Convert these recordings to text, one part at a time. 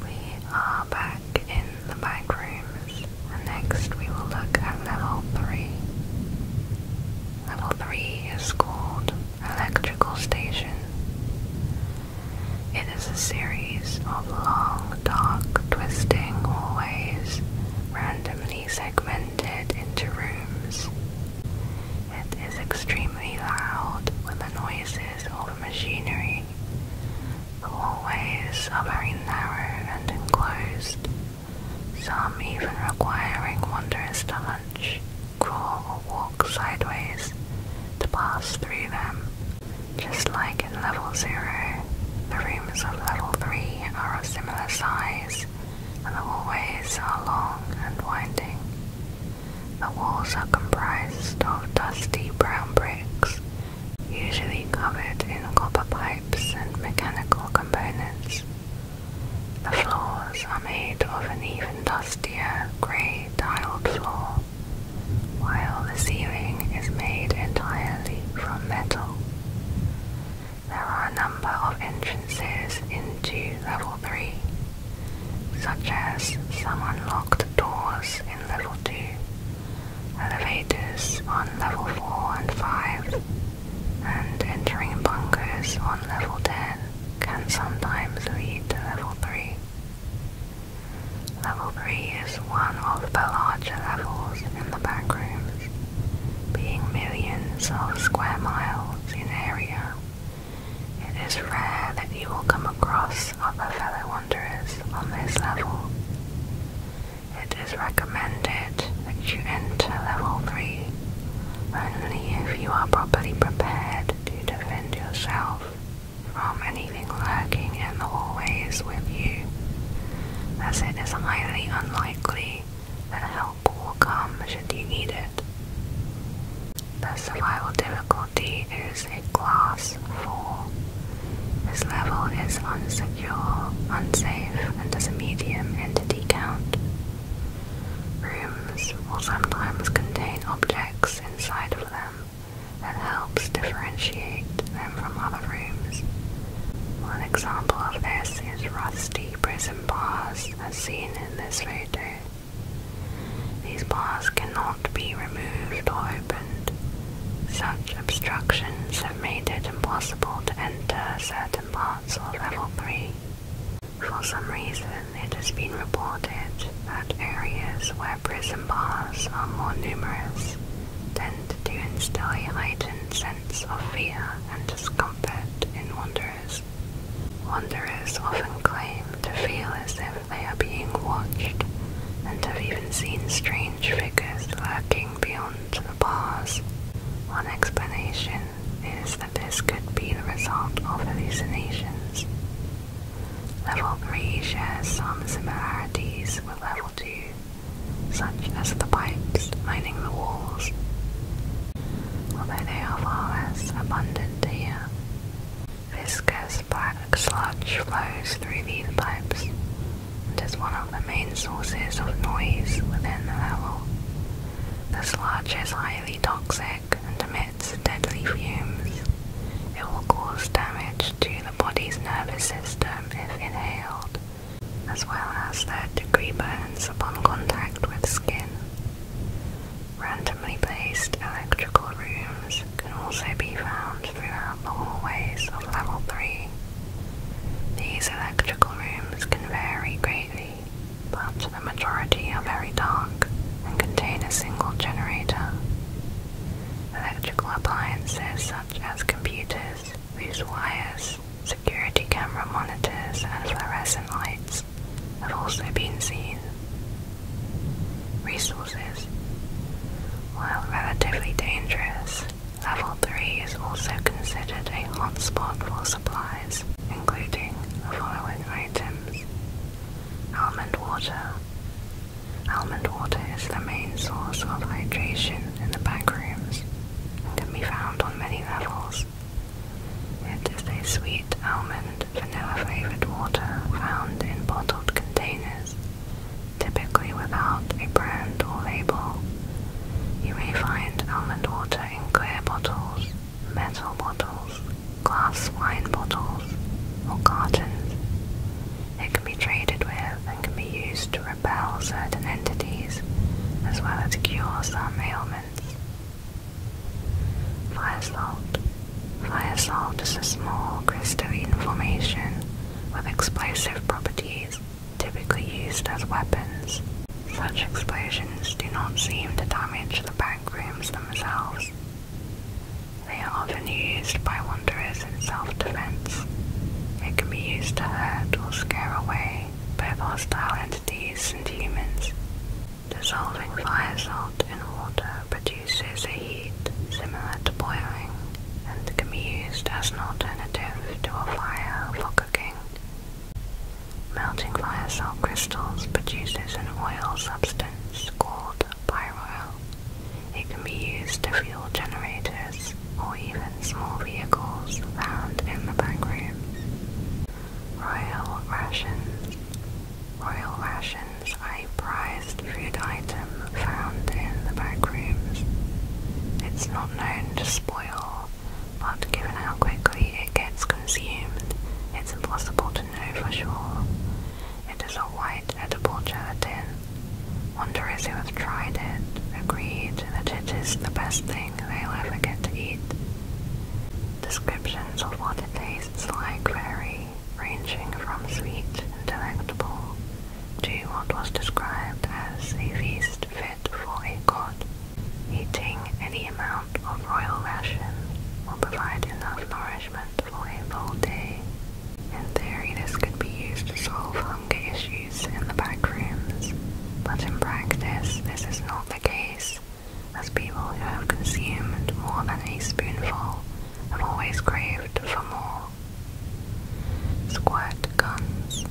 We are back in the back rooms, next we will look at level 3. Level 3 is called Electrical Station. It is a series of long, dark, twisting hallways randomly segmented into rooms. It is extremely loud with the noises of machinery the hallways are very narrow and enclosed, some even requiring wanderers to hunch, crawl, or walk sideways to pass through them. Just like in level 0, the rooms of level 3 are of similar size, and the hallways are long and winding. The walls are comprised of dusty brown bricks, usually covered in copper pipes and mechanical components. The floors are made of an even dustier grey tiled floor, while the ceiling is made entirely from metal. There are a number of entrances into level 3, such as some unlocked doors in level 2 elevators on level 4 and 5, and entering bunkers on level 10 can sometimes lead to level 3. Level 3 is one of the larger levels in the backrooms, being millions of square miles in area. It is rare that you will come across other fellow on this level. It is recommended that you enter level 3 only if you are properly prepared to defend yourself from anything lurking in the hallways with you, as it is highly unlikely that help will come should you need it. The survival difficulty difficulty is a glass 4. This level is unsecure, unsafe, and has a medium entity count. Rooms will sometimes contain objects inside of them that helps differentiate them from other rooms. One example of this is rusty prison bars as seen in this video. These bars cannot be removed or opened. Such obstructions have made it impossible to enter certain parts of level 3. For some reason, it has been reported that areas where prison bars are more numerous tend to instill a heightened sense of fear and discomfort in wanderers. Wanderers often claim to feel as if they are being watched and have even seen strange figures lurking beyond the bars. One explanation is that this could be the result of hallucinations. Level 3 shares some similarities with Level 2, such as the pipes lining the walls, although they are far less abundant here. Viscous black sludge flows through these pipes and is one of the main sources of noise within the level. The sludge is highly toxic and emits deadly fumes. It will cause damage to the body's nervous system if inhaled, as well as third degree burns upon contact with skin. Randomly placed electrical rooms can also be found throughout the hallways of level 3. These electrical rooms can vary greatly, but the majority are very dark and contain a single generator. Electrical appliances such as computers, fuse wires, security camera monitors, and fluorescent lights have also been seen, resources. While relatively dangerous, Level 3 is also considered a hot spot for supplies, including the following items. Almond water. Almond water is the main source of hydration in the backrooms and can be found on many levels. It is a sweet almond vanilla flavored water found in bottled containers typically without a brand or label. You may find almond water in clear bottles, metal bottles, glass wine bottles, or cartons. It can be traded with and can be used to repel certain entities as well as cure some ailments. Fire salt Fire salt is a small crystalline formation with explosive properties typically used as weapons. Such explosions do not seem to damage the back rooms themselves. They are often used by wanderers in self-defense. It can be used to hurt or scare away both hostile entities and humans. Dissolving fire salt in water produces produces a heat similar to boiling and can be used as an alternative to a fire for cooking. Melting fire salt crystals produces an oil substance called pyroil. It can be used to fuel generators or even small vehicles found in the back room. Royal rations. Royal rations remains a prized food item found in the back rooms. It's not known to spoil, but given how quickly it gets consumed, it's impossible to know for sure. It is a white edible gelatin. Wanderers who have tried it agreed that it is the best thing they'll ever get to eat. Descriptions of what it tastes like vary, ranging from sweet and delectable to what was described as a feast fit for a god. Eating any amount of royal ration will provide enough nourishment for a full day. In theory, this could be used to solve hunger issues in the back rooms, but in practice, this is not the case, as people who have consumed more than a spoonful have always craved for more. Squirt guns.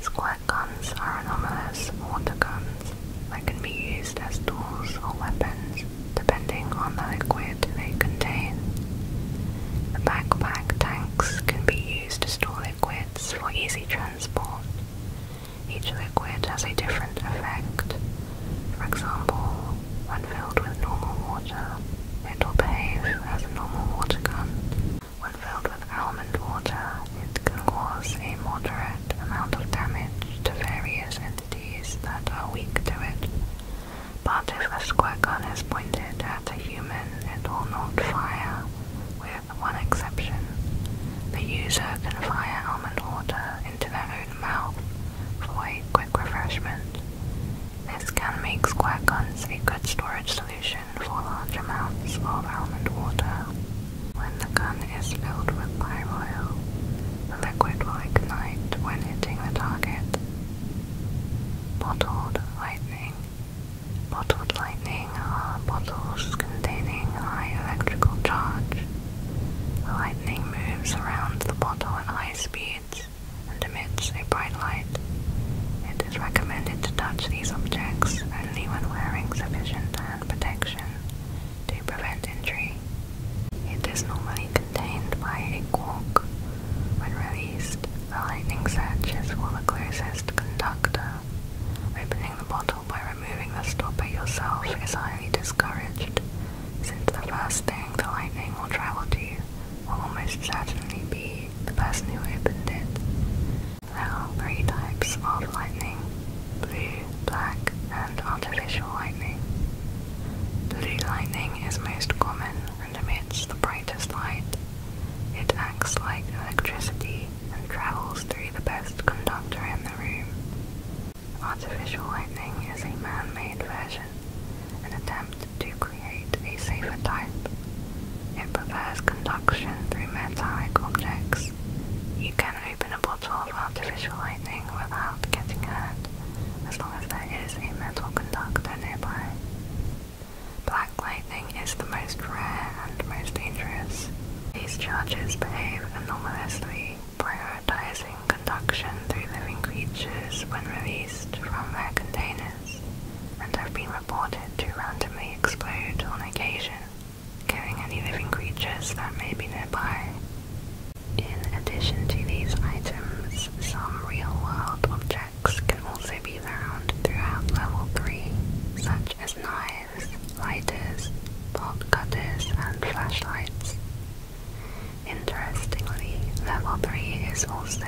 Squirt guns are anomalous water guns that can be used as tools or weapons depending on the liquid they contain. backpack tanks can be used to store liquids for easy transport. Each liquid has a different effect for example, when filled with normal water, it will behave as a normal water gun. When filled with almond water, it can cause a moderate amount of damage to various entities that are weak to it. But if a squirt gun is pointed at a human, it will not fire, with one exception. The user can fire almond water into their own mouth for a quick refreshment. This can make guns a good storage solution for large amounts of almond water. When the gun is filled with oil, the liquid will ignite when hitting the target. Bottled lightning. Bottled lightning are bottles containing high electrical charge. The lightning moves around the bottle at high speeds, and emits a bright light. It is recommended to touch these objects only when wearing sufficient hand protection to prevent injury. It is normally contained by a cork. When released, the lightning searches for the closest conductor. Opening the bottle by removing the stopper yourself is highly discouraged, since the first thing the lightning will travel to will most certainly be the person who opened it. There are three types of lightning blue, black, and artificial lightning. Blue lightning is most common and emits the brightest light. It acts like electricity and travels through the best conductor in the room. Artificial lightning is a man made version an attempt to create a safer type. It prefers conduction through metallic objects. You can open a bottle of artificial lightning without getting hurt, as long as there is a metal conductor nearby. Black lightning is the most rare and most dangerous. These charges behave anomalously prior prioritizing conduction through living creatures when released from their containers, and have been reported to randomly explode on occasion, killing any living creatures that may be nearby. In addition to these items, some real-world objects can also be found throughout level 3, such as knives, lighters, bolt cutters, and flashlights, Interestingly, level 3 is also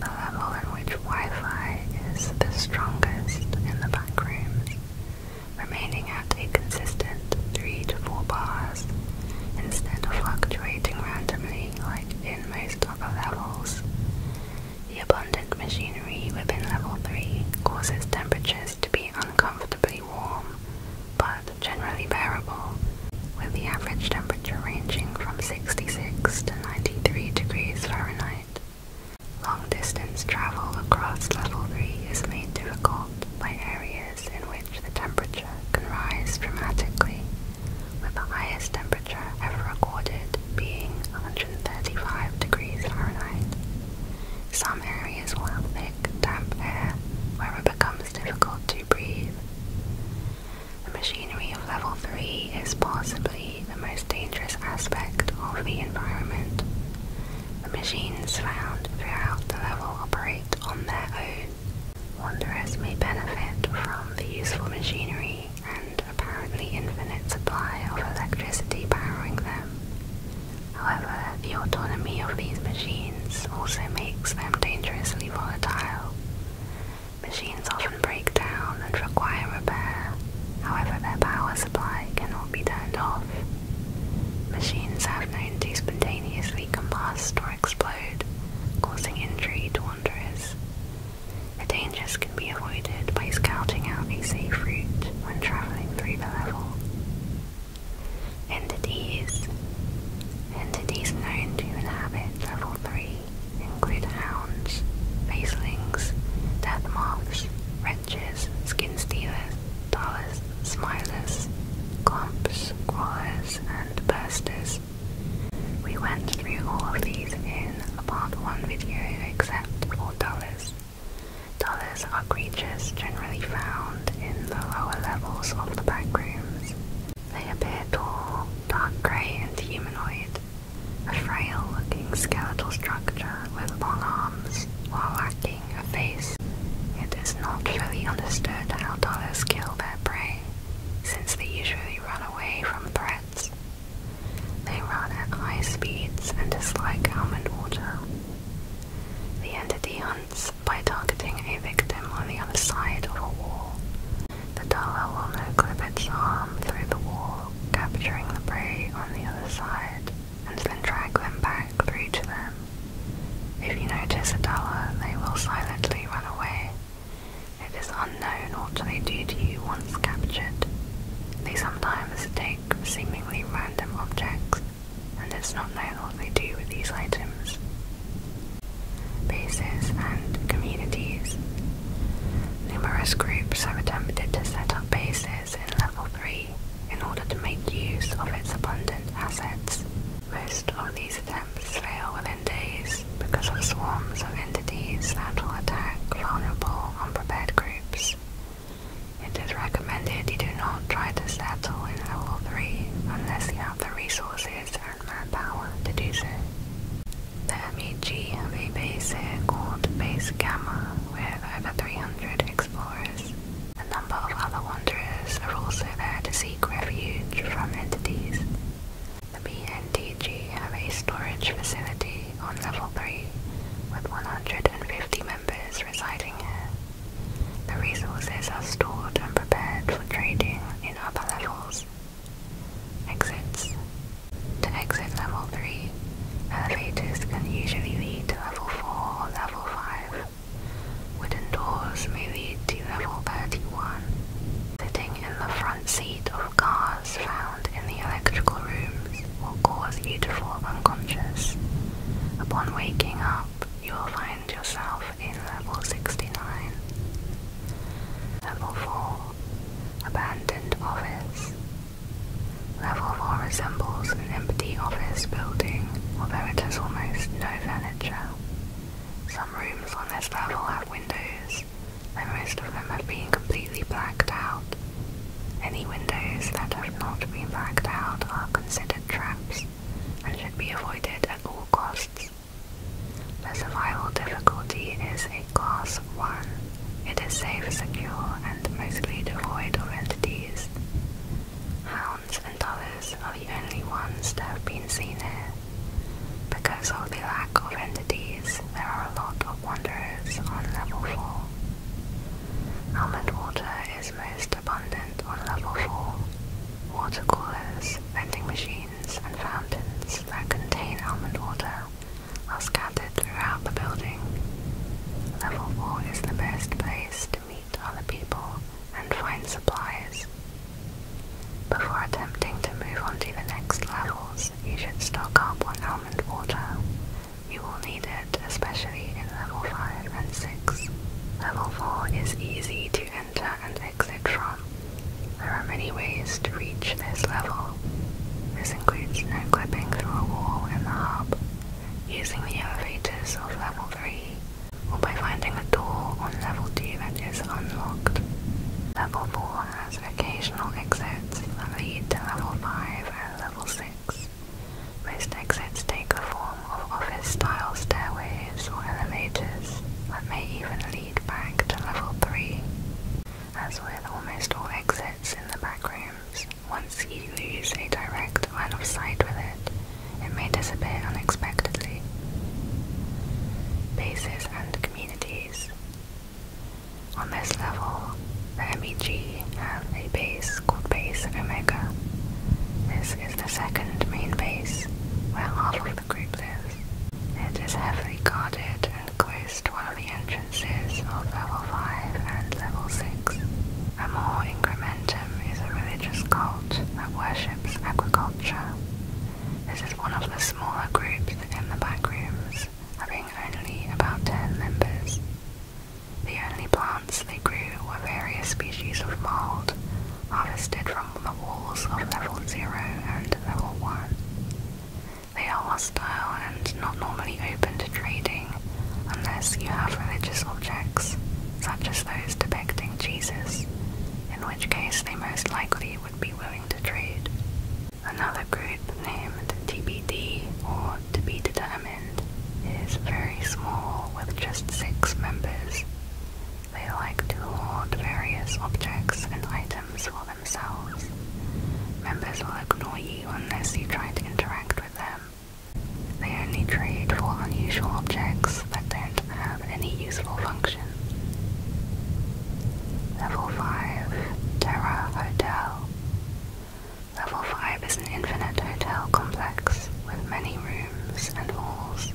the level in which Wi-Fi is the strongest in the back rooms, remaining at a consistent 3 to 4 bars instead of fluctuating randomly like in most other levels. The abundant machinery within level 3 causes temperatures to be uncomfortably warm but generally bearable, with the average temperature ranging from 66 to 93 degrees Fahrenheit. Long distance travel across level 3 is made difficult by areas in which the temperature can rise dramatically, with the highest temperature ever recorded being 135 degrees Fahrenheit. Some areas will have thick, damp air where it becomes difficult to breathe. The machinery of level 3 is possibly the most dangerous aspect of the environment. The machines found throughout the level operate on their own. Wanderers may benefit from the useful machinery and apparently infinite supply of electricity powering them. However, the autonomy of these machines machines also makes them dangerously volatile. Machines often break down and require repair, however their power supply cannot be turned off. Machines have known to spontaneously combust or explode, causing injury to wanderers. The dangers can be avoided by scouting out a safe route when traveling through the level. Entities Entities known to inhabit level 3 include hounds, facelings, death moths, wretches, skin stealers, dollars, smilers, clumps, crawlers, and bursters. We went through all of these in a part 1 video except for dollars. Dollars are creatures generally found in the lower levels of the backrooms. They appear tall, dark grey and humanoid, a frail-looking skeletal structure with long arms, while lacking a face. It is not fully understood how dollars kill their prey, since they usually run away from threats. They run at high speeds and dislike almond water. The entity hunts by targeting a victim on the other side of a wall. The Dala will no-clip its arm through the wall, capturing the prey on the other side, and then drag them back through to them. If you notice a Dala, they will silently run away. It is unknown what they do to you once captured. They sometimes take seemingly random objects, and it's not known what they do with these items bases, and communities. Numerous groups have attempted to set up bases in Level 3 in order to make use of its abundant assets. Most of these attempts fail within days because of swarms of entities that will attack vulnerable, unprepared groups. It is recommended you do not try to settle in Level 3 unless you have the resources the MEG have a base called Base Gamma with over 300 explorers. A number of other wanderers are also there to seek refuge from entities. The BNTG have a storage facility on level 3 with 150 members residing here. The resources are stored and prepared for trading in upper levels. Exits. To exit level 3, elevators can usually lead to level 4 or level 5. Wooden doors may lead to level 31. Sitting in the front seat of cars found in the electrical rooms will cause you to fall unconscious. Upon waking up, you will find yourself in level 69. Level 4 Abandoned Office. Level 4 resembles an empty office building, although it has almost no furniture. Some rooms on this level have windows, but most of them have been completely blacked out. Any windows that have not been blacked out are considered traps and should be avoided at all costs. The survival difficulty is a class 1. It is safe, secure, and mostly devoid of entities. Hounds and dollars are the only ones that have been seen here. Because of the lack of entities, there are a lot of wanderers on level 4. Almond water is most abundant on level 4. Water coolers, vending machines, and fountains that contain almond water are scattered throughout the building. Level 4 is the best place to meet other people and find supplies. Before attempting to move on to the next levels, you should stock up on almond water. You will need it, especially in level 5 and 6. Level 4 is easy to enter and exit from. There are many ways to reach this level. This includes no clipping through a wall in the hub, using the elevators of level 3, or by finding a door on level 2 that is unlocked. Level 4 has occasional exits that lead to level 5 and level 6. Most exits take the form of office style stairways or elevators that may even lead back to level 3. As with almost all exits in the back rooms, once you lose a direct line of sight with it, it may disappear unexpectedly. Bases and communities. On this level, the MEG have a base called Base of Omega. This is the second main base, where half of the group it is heavily guarded and closed to one of the entrances of level 5 and level 6. Amor Incrementum is a religious cult that worships agriculture. This is one of the smaller groups in the back rooms, having only about 10 members. The only plants they grew were various species of mold harvested from from the walls of level 0 and level 1. They are hostile and not normally open to trading unless you have religious objects, such as those depicting Jesus, in which case they most likely would be willing to trade. Another group named TBD or To Be Determined is very small with just six members. They like to hoard various objects and items for themselves. Members will ignore you unless you try to interact with them. They only trade for unusual objects that don't have any useful function. Level 5 Terra Hotel Level 5 is an infinite hotel complex with many rooms and halls.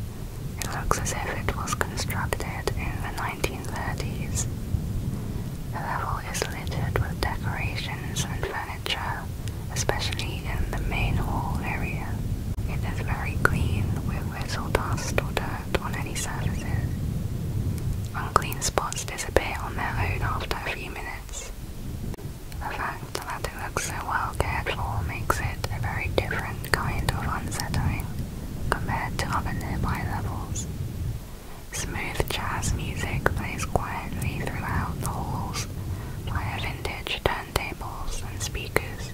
It looks as if it was constructed in the 1930s. The level is littered with decorations and furniture, especially in the main hall area. It is very clean, with little dust or dirt on any surfaces. Unclean spots disappear on their own after a few minutes. The fact that it looks so well cared for makes it a very different and kind of unsettling compared to other nearby levels. Smooth jazz music plays quietly throughout the halls via vintage turntables and speakers.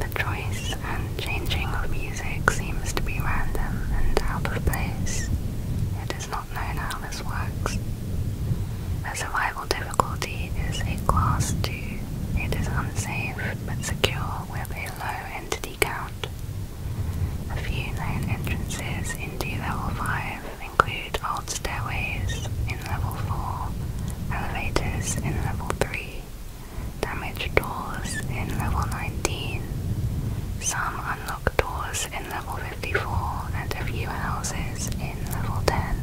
The choice and changing of music seems to be random and out of place. It is not known how this works. The survival difficulty is a class 2. It is unsafe but secure with a low entity count. A few known entrances into level 5 include old stairways in level 4, elevators in level 3, damaged doors in level 19, some unlocked doors in level 54, and a few houses in level 10.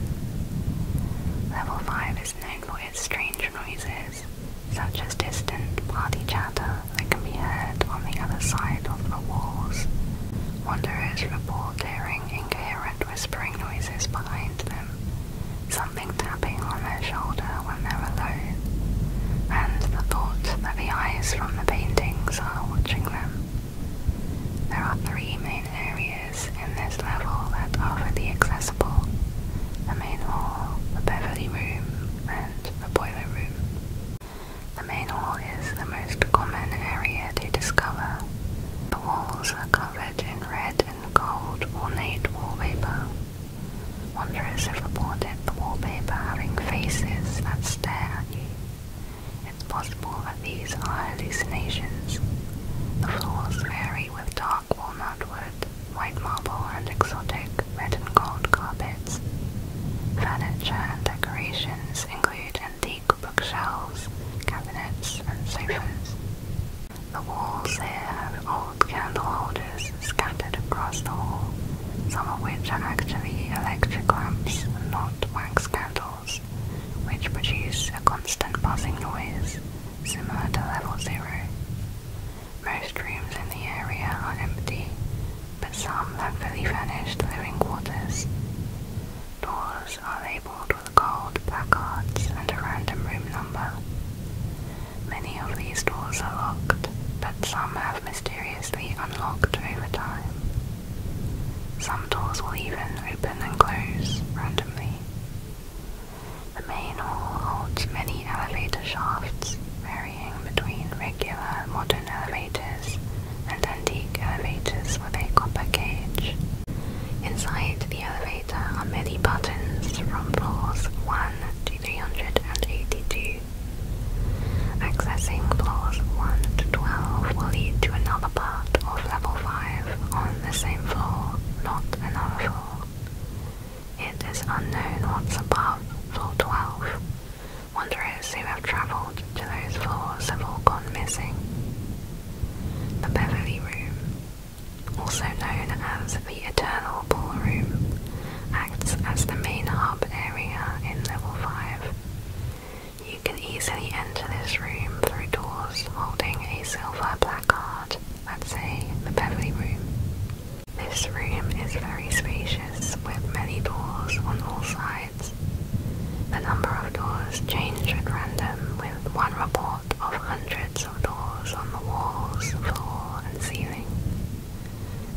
Level 5 is known for strange noises, such as distant party chatter that can be heard on the other side of the walls. Wanderers report hearing incoherent whispering noises behind them, something tapping on their shoulder when they're alone, and the thought that the eyes from the paintings are watching them. There are three main areas in this level that are fully accessible the main hall, the Beverly Room, and the Boiler Room. The main hall is the most common area to discover. The walls are covered in red and gold ornate wallpaper. Wanderers have reported the wallpaper having faces that stare at you. It's possible that these are hallucinations. The floors vary with dark walnut wood white marble and exotic red and gold carpets. Furniture and decorations include antique bookshelves, cabinets and sofas. The walls here have old candleholders scattered across the hall, some of which are actually electric lamps not wax candles, which produce a constant buzzing noise similar to level zero. Most rooms in the area are empty, but some have fully furnished living quarters. Doors are labelled with gold placards and a random room number. Many of these doors are locked, but some have mysteriously unlocked over time. Some doors will even open and close randomly. The main hall holds many elevator shafts, varying between regular modern elevators and antique elevators with a copper cage. Inside the elevator are many buttons from floors 1 to 382. Accessing floors 1 to 12 will lead to another part of level 5 on the same floor, not another floor. It is unknown what's above floor 12. Wanderers who have travelled to those floors have all gone missing. The Beverly Room, also known as the Eternal Ballroom, acts as the main hub area in level 5. You can easily enter this room through doors holding a silver placard let's say the Beverly Room. This room is very spacious with many doors on all sides. The number of doors change at random with one report of hundreds of doors on the walls, floor and ceiling.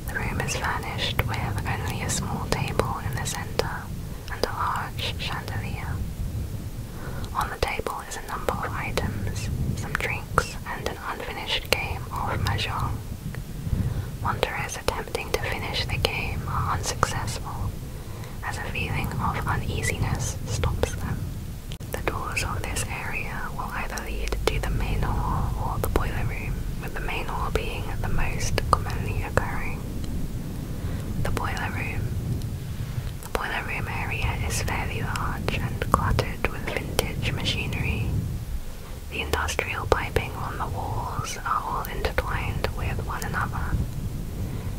The room is furnished with only a small table in the center and a large chandelier. On the table there's a number of items, some drinks, and an unfinished game of mahjong. Wanderers attempting to finish the game are unsuccessful, as a feeling of uneasiness stops them. The doors of this area will either lead to the main hall or the boiler room, with the main hall being the most commonly occurring. The boiler room. The boiler room area is fairly large and cluttered with vintage machinery. The industrial piping on the walls are all intertwined with one another.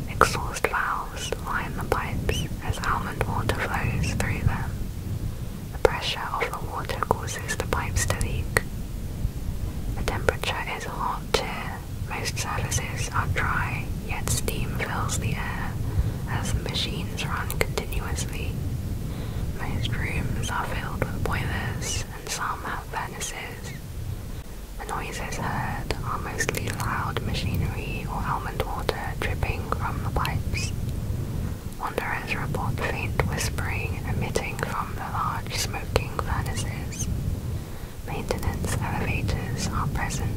Exhaust valves line the pipes as almond water flows through them. The pressure of the water causes the pipes to leak. The temperature is hot here. Most surfaces are dry yet steam fills the air as the machines run continuously. Most rooms are filled with boilers and some have furnaces. The noises heard are mostly loud machinery or almond water dripping from the pipes. Wanderers report faint whispering emitting from the large smoking furnaces. Maintenance elevators are present,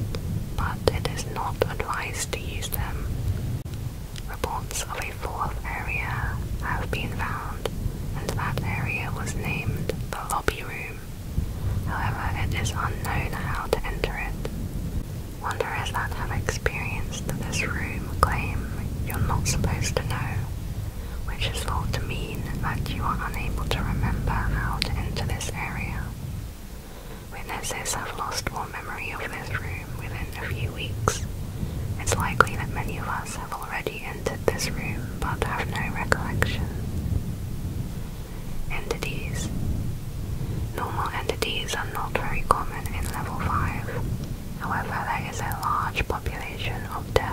but it is not advised to use them. Reports of a fourth area have been found, and that area was named the lobby room. However, it is unknown how to enter it. Wanderers that have experienced this room claim you're not supposed to know, which is thought to mean that you are unable to remember how to enter this area. Witnesses have lost all memory of this room within a few weeks. It's likely that many of us have already entered this room but have no recollection. Entities. Normal entities are not very common in level 5. However, there is a large population of dead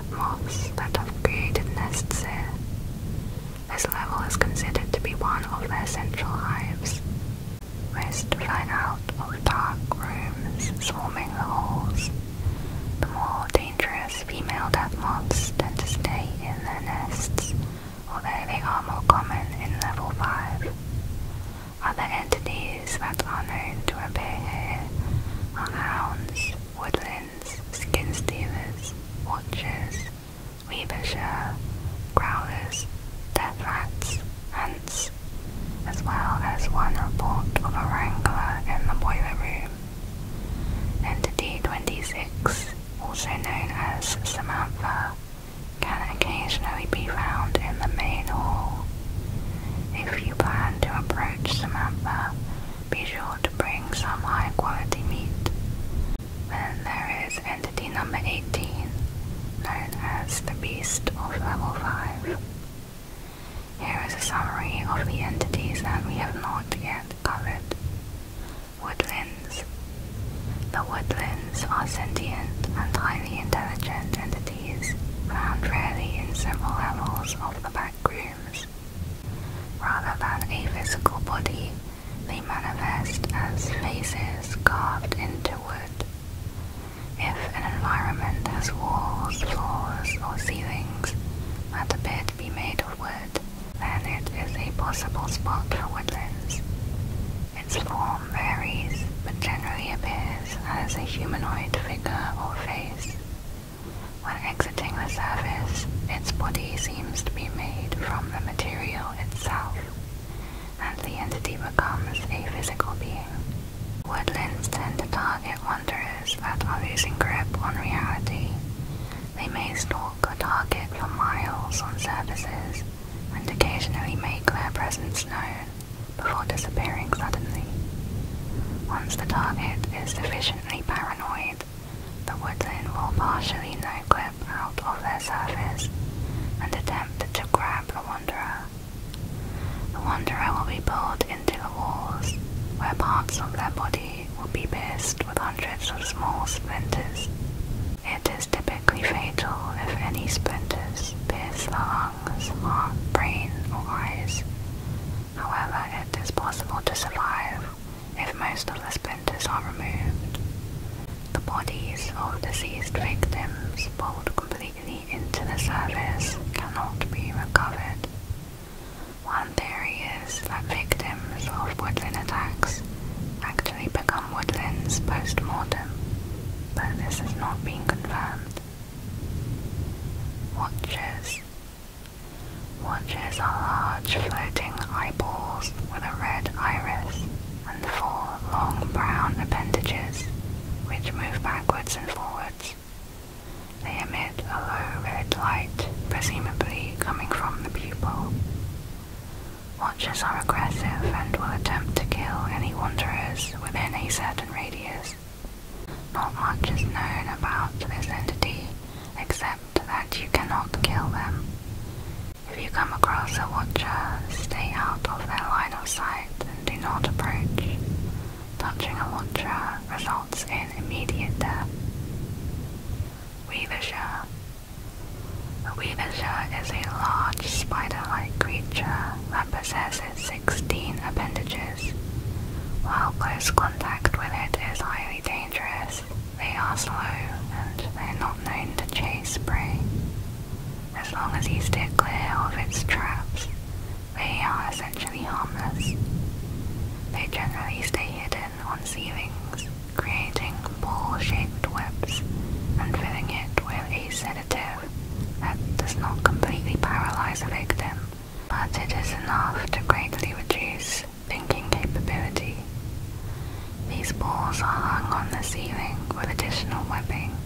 that have created nests here. This level is considered to be one of their central hives. West flying out of dark rooms swarming the halls. The more dangerous female death moths tend to stay in their nests, although they are more common in level 5. Other entities that are known to appear here are hounds, woodlands, skin stealers, watchers, Weavershire, growlers, death rats, ants, as well as one report of a wrangler in the boiler room. D 26, also known as Samantha, can occasionally be found in the main hall. If you plan to approach Samantha, be sure to bring some high quality meat, then there is entity number 18, known as the Beast of Level 5. Here is a summary of the entities that we have not yet covered. Woodlands. The woodlands are sentient and highly intelligent entities found rarely in several levels of the back rooms. Rather than a physical body, they manifest as faces carved into wood. If an environment has walls, floors, or ceilings that appear to be made of wood, then it is a possible spot for woodlands. Its form varies, but generally appears as a humanoid figure or face. When exiting the surface, its body seems to be made from the material itself and the entity becomes a physical being. Woodlands tend to target wanderers that are losing grip on reality. They may stalk a target for miles on surfaces and occasionally make their presence known before disappearing suddenly. Once the target is sufficiently paranoid, the woodland will partially no out of their surface and attempt to grab the Wanderer. The Wanderer will be pulled into the walls, where parts of their body will be pierced with hundreds of small splinters. It is typically fatal if any splinters pierce the lungs, heart, brain, or eyes. However, it is possible to survive if most of the splinters are removed, the bodies of deceased victims pulled completely into the surface cannot be recovered. One theory is that victims of woodland attacks actually become woodlands post-mortem, but this has not been confirmed. Watchers Watchers are large floating eyeballs with a red iris four long brown appendages which move backwards and forwards. They emit a low red light, presumably coming from the pupil. Watchers are aggressive and will attempt to kill any wanderers within a certain radius. Not much is known about this entity, except that you cannot kill them. If you come across a watcher, stay out of their line of sight and do not approach. Touching a watcher results in immediate death. Weavershire. A weavershire is a large spider-like creature that possesses 16 appendages. While close contact with it is highly dangerous, they are slow and they're not known to chase prey. As long as you stay clear of its traps, they are essentially harmless. They generally stay hidden on ceilings, creating ball-shaped webs and filling it with a sedative that does not completely paralyze a victim, but it is enough to greatly reduce thinking capability these balls are hung on the ceiling with additional webbing.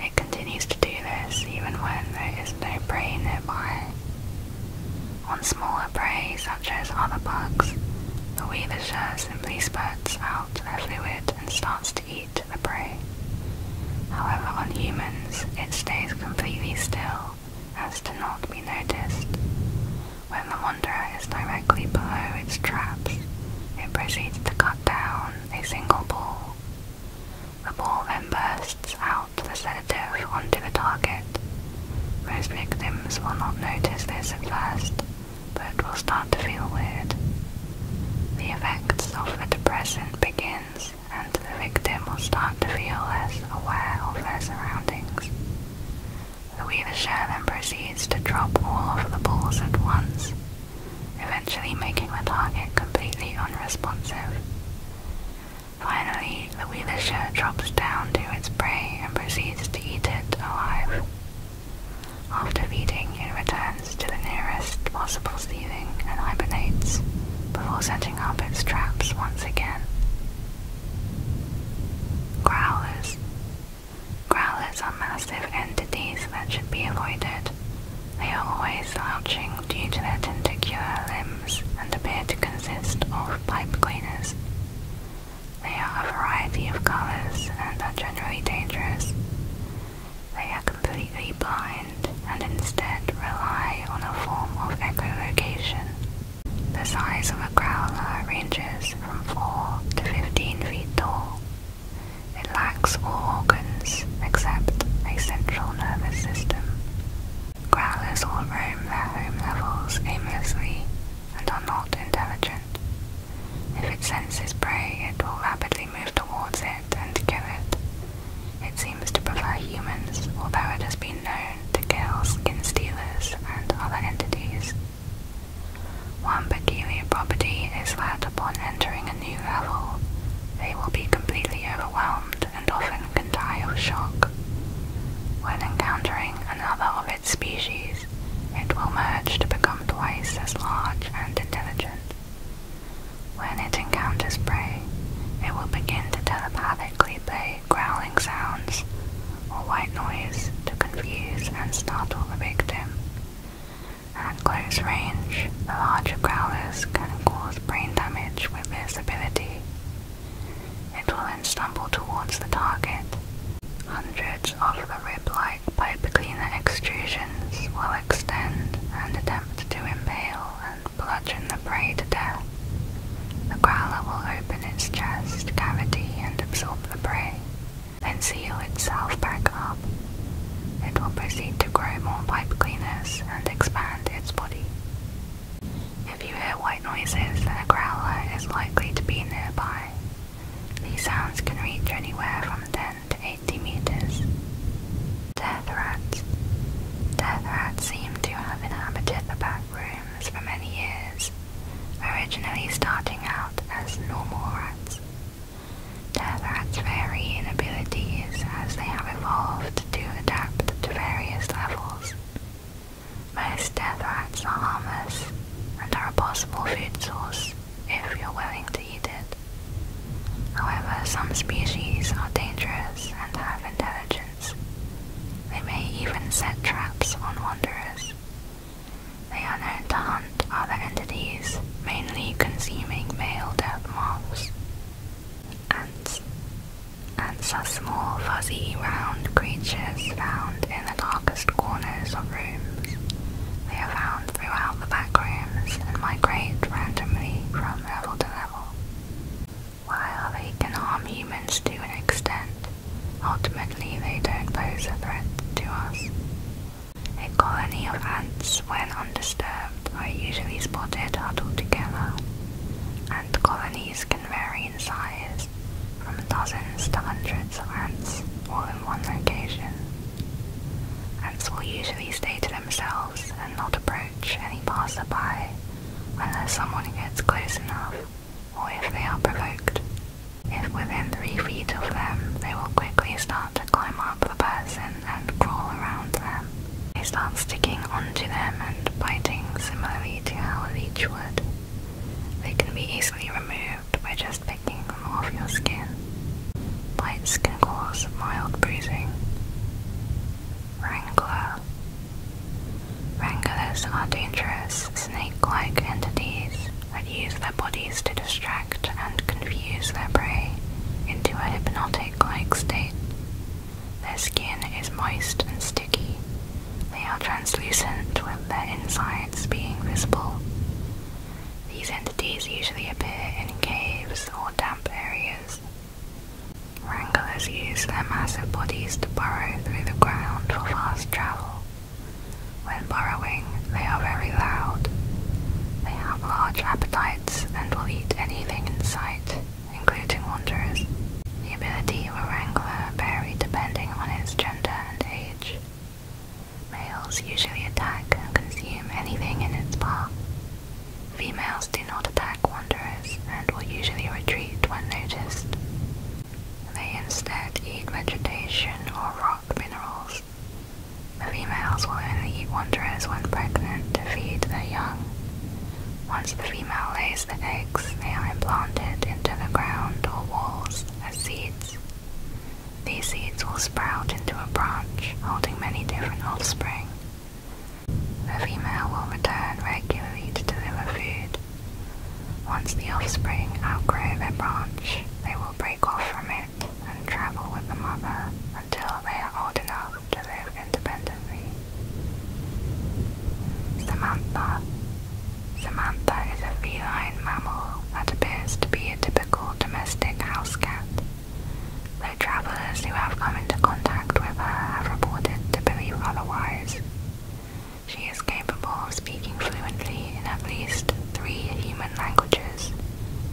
It continues to do this even when there is no prey nearby. On smaller prey, such as other bugs, the Weavisher simply spurts out the fluid and starts to eat the prey. However, on humans, it stays completely still as to not be noticed. When the wanderer is directly below its traps, it proceeds to cut down a single ball. The ball then bursts out the sedative onto the target. Most victims will not notice this at first, but will start to feel weird. The effects of the depressant begins and the victim will start to feel less aware of their surroundings. Louis the Share then proceeds to drop all of the balls at once, eventually making the target completely unresponsive. Finally, the Wheelisher drops down to its prey and proceeds to eat it alive. After feeding, it returns to the nearest possible ceiling and hibernates, before setting up its traps once again. Growlers. Growlers are massive entities that should be avoided. They are always slouching due to their tentacular limbs and appear to consist of pipe cleaners. They are a variety of colors and are generally dangerous. They are completely blind and instead rely on a form of echolocation the size of a growler ranges from 4 to 15 feet tall. It lacks all organs except a central nervous system. Growlers all roam their home levels aimlessly and are not intelligent. If it senses prey, it will rapidly move towards it and kill it. It seems to prefer humans, although it has been known to kill skin stealers and other entities. One peculiar property is that upon entering a new level, they will be completely overwhelmed and often can die of shock. When encountering another of its species, it will merge to become twice as large and intelligent. When it encounters prey, it will begin to telepathically play growling sounds or white noise to confuse and startle the victim. At close range, the larger growlers can cause brain damage with visibility. It will then stumble towards the target. Hundreds of the rib-like pipe cleaner extrusions will extend and attempt to impale and bludgeon the prey to death. The growler will open its chest cavity and absorb the prey then seal itself back up. It will proceed to grow more pipe cleaners and expand its body. If you hear white noises, then a growler is likely to be nearby. These sounds can reach anywhere from 10 to 80 meters. Death rats. Death rats seem to have inhabited the back rooms for many years originally starting out as normal rats. Death rats' vary in abilities as they have evolved to adapt to various levels. Most death rats are harmless and are a possible food source if you're willing to eat it. However, some species are dangerous and have intelligence. They may even set traps on wanderers, they are known to hunt other entities, mainly consuming male death moths. Ants. Ants are small, fuzzy, round creatures found in the darkest corners of rooms. They are found throughout the back rooms and migrate randomly from level to level. While they can harm humans to an extent, Ultimately, they don't pose a threat to us. A colony of ants, when undisturbed, are usually spotted huddled together. Ant colonies can vary in size, from dozens to hundreds of ants, all in one location. Ants will usually stay to themselves and not approach any passerby unless someone gets close enough or if they are provoked. If within three feet of them, they will quickly start to climb up the person and crawl around them. They start sticking onto them and biting similarly to how a leech would. They can be easily removed by just picking them off your skin. Bites can cause mild bruising. Wrangler. Wranglers are dangerous snake-like entities that use their bodies to distract and confuse their prey into a hypnotic-like state. Their skin is moist and sticky. They are translucent with their insides being visible. These entities usually appear in caves or damp areas. Wranglers use their massive bodies to burrow through the ground for fast travel. When burrowing, they are very loud. They have large appetites and will eat anything in sight, including wanderers. The ability of a wrangler varies depending on its gender and age. Males usually attack and consume anything in its path. Females do not attack wanderers and will usually retreat when noticed. They instead eat vegetation or rock minerals. The females will only eat wanderers when pregnant to feed their young. Once the female lays the eggs, they are implanted into the ground or walls as seeds. These seeds will sprout into a branch holding many different offspring. The female will return regularly to deliver food, once the offspring outgrow their branch, they will break off from it and travel with the mother until they are old enough to live independently. Samantha. Samantha is a feline mammal that appears to be a typical domestic house cat, though travelers who have come into contact with her have reported to believe otherwise. She is capable of speaking fluently in at least three human languages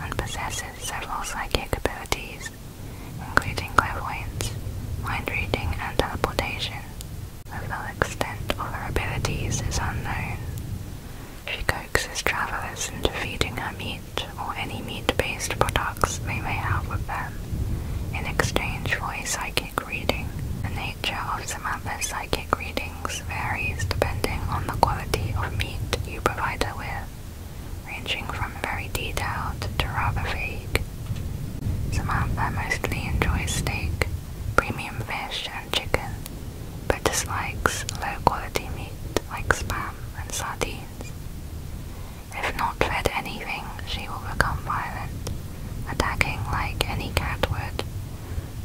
and possesses several psychic abilities, including clairvoyance, mind reading, and teleportation. The full extent of her abilities is unknown. She coaxes travelers into feeding her meat or any meat-based products they may have with them in exchange for a psychic reading. The nature of Samantha's psychic reading varies depending on the quality of meat you provide her with, ranging from very detailed to rather vague. Samantha mostly enjoys steak, premium fish, and chicken, but dislikes low-quality meat like spam and sardines. If not fed anything, she will become violent, attacking like any cat would,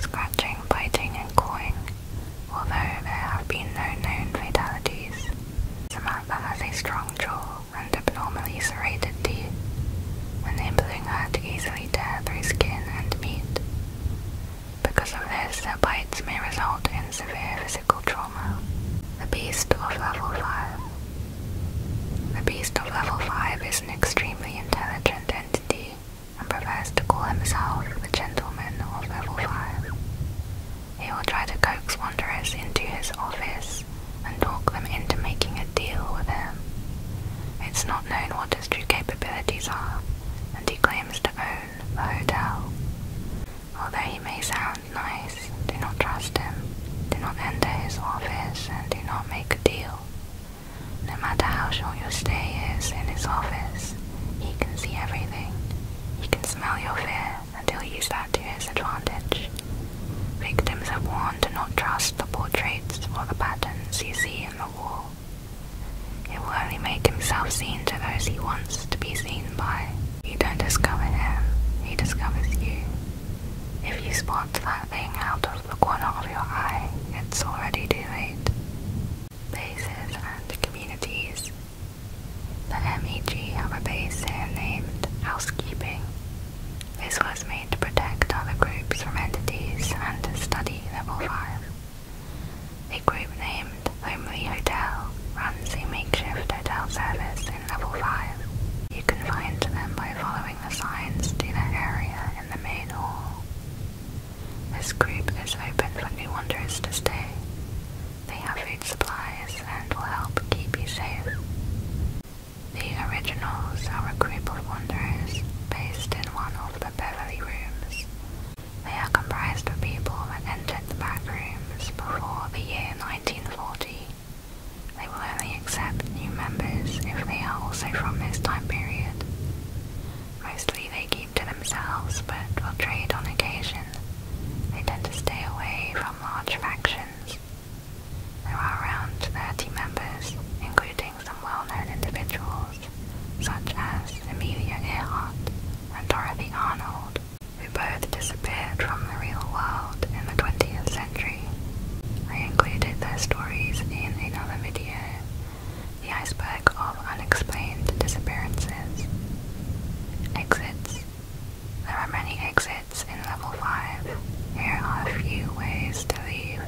scratching, biting and clawing, although there have been no known fatalities. Samantha has a strong jaw and abnormally serrated teeth, enabling her to easily tear through skin and meat. Because of this, their bites may result in severe physical trauma. The Beast of Level 5 The Beast of Level 5 is an extremely intelligent entity and prefers to call himself the gentleman of level 5. He will try to coax wanderers into his office and talk them into making a deal with him. It's not known what his true capabilities are, and he claims to own the hotel. Although he may sound nice, do not trust him, do not enter his office, and do not make a deal. No matter how short your stay is in his office, he can see everything. He can smell your fear and he'll use that to his advantage. Victims are warned to not trust the portraits or the patterns you see in the wall. It will only make himself seen to those he wants to be seen by. You don't discover him, he discovers you. If you spot that thing out of the corner of your eye, it's already too late. Bases and communities. The MEG have a base here named Housekeeping. This was made to protect other groups from entities and to study level 5. A group named Homely Hotel runs a makeshift hotel service in level 5. You can find them by following the signs to the area in the main hall. This group is open for new wanderers to stay. They have food supplies and will help keep you safe. The Originals are a group of wanderers based in one of the Beverly Rooms. They are comprised of people that entered the back rooms before the year 1940. They will only accept new members if they are also from this time period. Mostly they keep to themselves but will trade on occasion. They tend to stay away from large factions. There are around 30 members, including some well-known individuals, such as Amelia Earhart and Dorothy Arnold, who both disappeared from the real world in the 20th century. I included their stories in another video, the iceberg of unexplained disappearances. Exits. There are many exits in level 5. Here are a few ways to leave.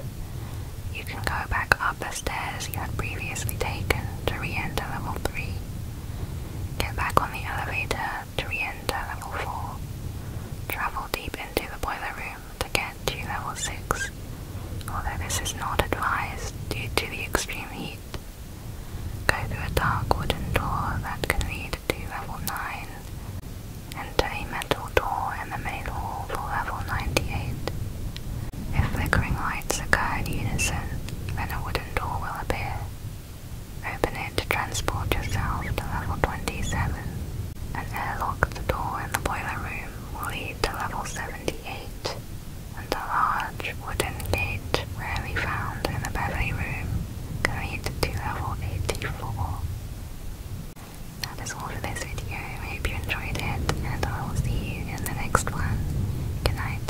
You can go back up the stairs you had previously taken to re-enter level 3. Get back on the elevator to re-enter level 4. Travel deep into the boiler room to get to level 6, although this is not advised due to the extreme heat. Go through a dark wooden door that can lead to level 9. Enter a metal door in the main hall for level 98. If flickering lights occur in unison, then a wooden door will appear. Open it to transport yourself to level 27, and airlock the door in the boiler room. Will lead to level 78 and a large wooden gate rarely found in a Beverly room can lead to level 84. That is all for this video, I hope you enjoyed it and I will see you in the next one. Good night.